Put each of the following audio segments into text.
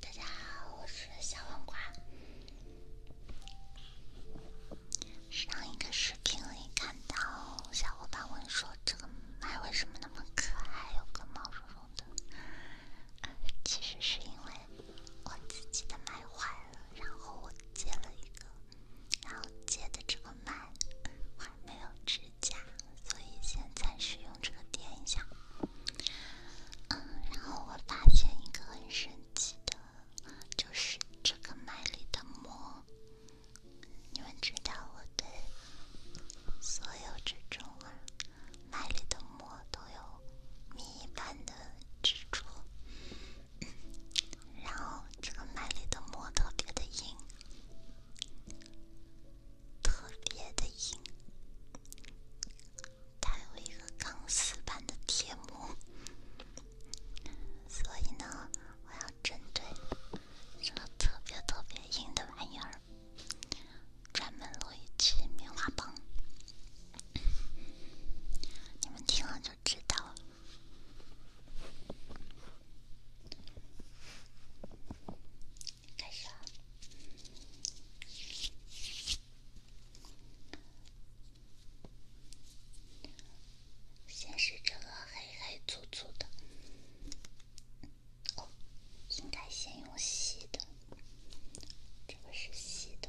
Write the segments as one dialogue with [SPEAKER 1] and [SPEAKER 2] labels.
[SPEAKER 1] 大家好，我是小黄瓜。上一个视频里看到
[SPEAKER 2] 小伙伴问说，这个麦为什么那么可爱，有个毛茸茸的？其实是因为我自己的麦坏了，然后我接了一个，然后接的这个麦我没有接。假，所以先暂时用这个点一下。嗯，然
[SPEAKER 1] 后我发现一个很神奇的，就是这个麦力的膜，
[SPEAKER 2] 你们知道我的所有这种啊麦力的膜都有米一般的蜘蛛，然后这个麦力的膜特别的硬。特别的硬，它有一个钢丝般的贴膜，所以呢，我要针对这个特别特别硬的玩意儿，专门录一集棉花棒，你们听了就知道了。开始。啊。先是这个黑黑粗粗的，哦，应该先用细的。这个是细的。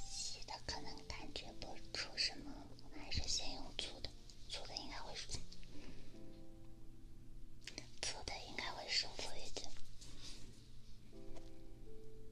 [SPEAKER 2] 洗的可能感觉不出什么，还是先用醋的。醋的应该会，醋的应该会舒服一点。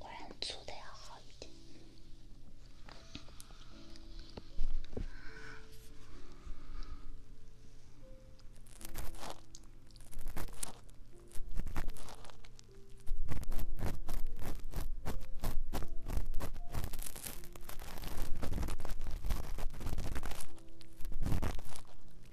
[SPEAKER 2] 果然粗的要好一点。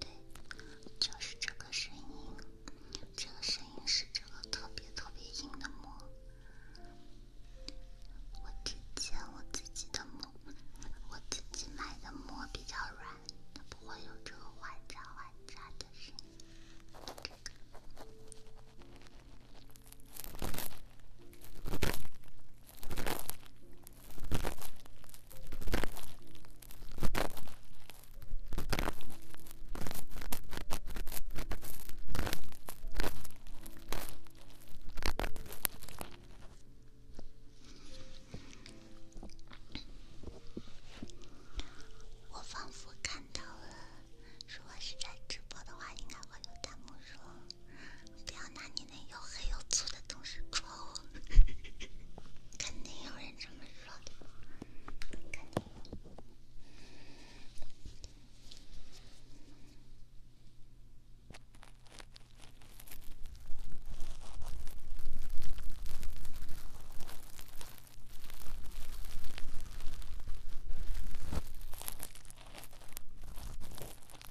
[SPEAKER 2] 对，就是这个声音，这个声音是这个特别特别硬的膜。我之前我自己的膜，我自己买的膜比较软，它不会有这个哗渣哗渣的声音。这个。我仿佛看到了，如果是在直播的话，应该会有弹幕说。不要拿你那又黑又粗的东西戳我，肯定有人这么说的，肯定。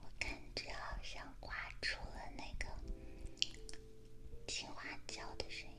[SPEAKER 2] 我感觉好像挂出了那个青花椒的声音。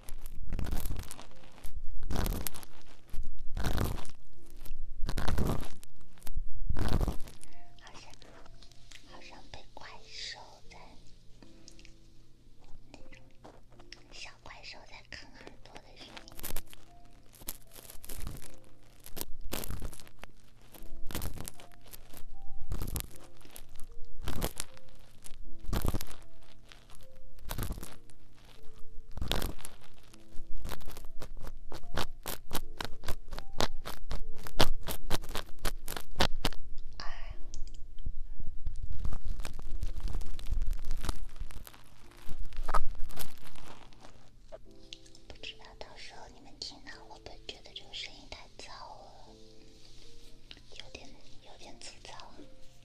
[SPEAKER 2] 好像，好像被怪兽在那种小怪兽在啃耳朵的时候。哎，不知道到时候你们听到会不会觉得这个声音太糙了？有点，有点粗糙。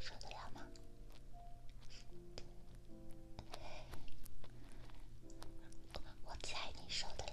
[SPEAKER 2] 受得了吗？我猜你受得了。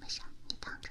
[SPEAKER 2] 没事，你躺着。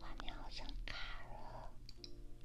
[SPEAKER 2] 画面好像卡了。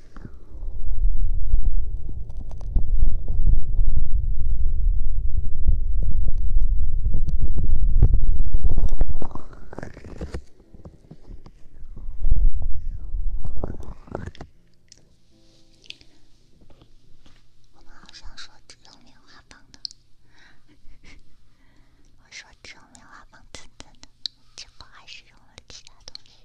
[SPEAKER 2] 我们好像说只用棉花棒的，我说只用棉花棒蹭蹭的，结果还是用了其他东西。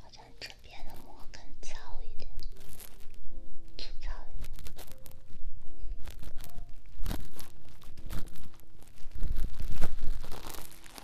[SPEAKER 2] 好像这边的毛更糙一点，粗糙一点。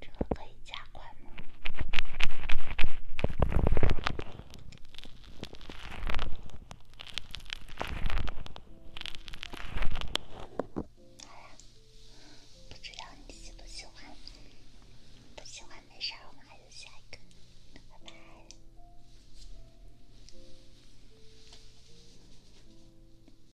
[SPEAKER 2] 这个可以加快吗？好啦，不知道你喜不喜欢，不喜欢没事
[SPEAKER 1] 我们还有下一个，拜拜。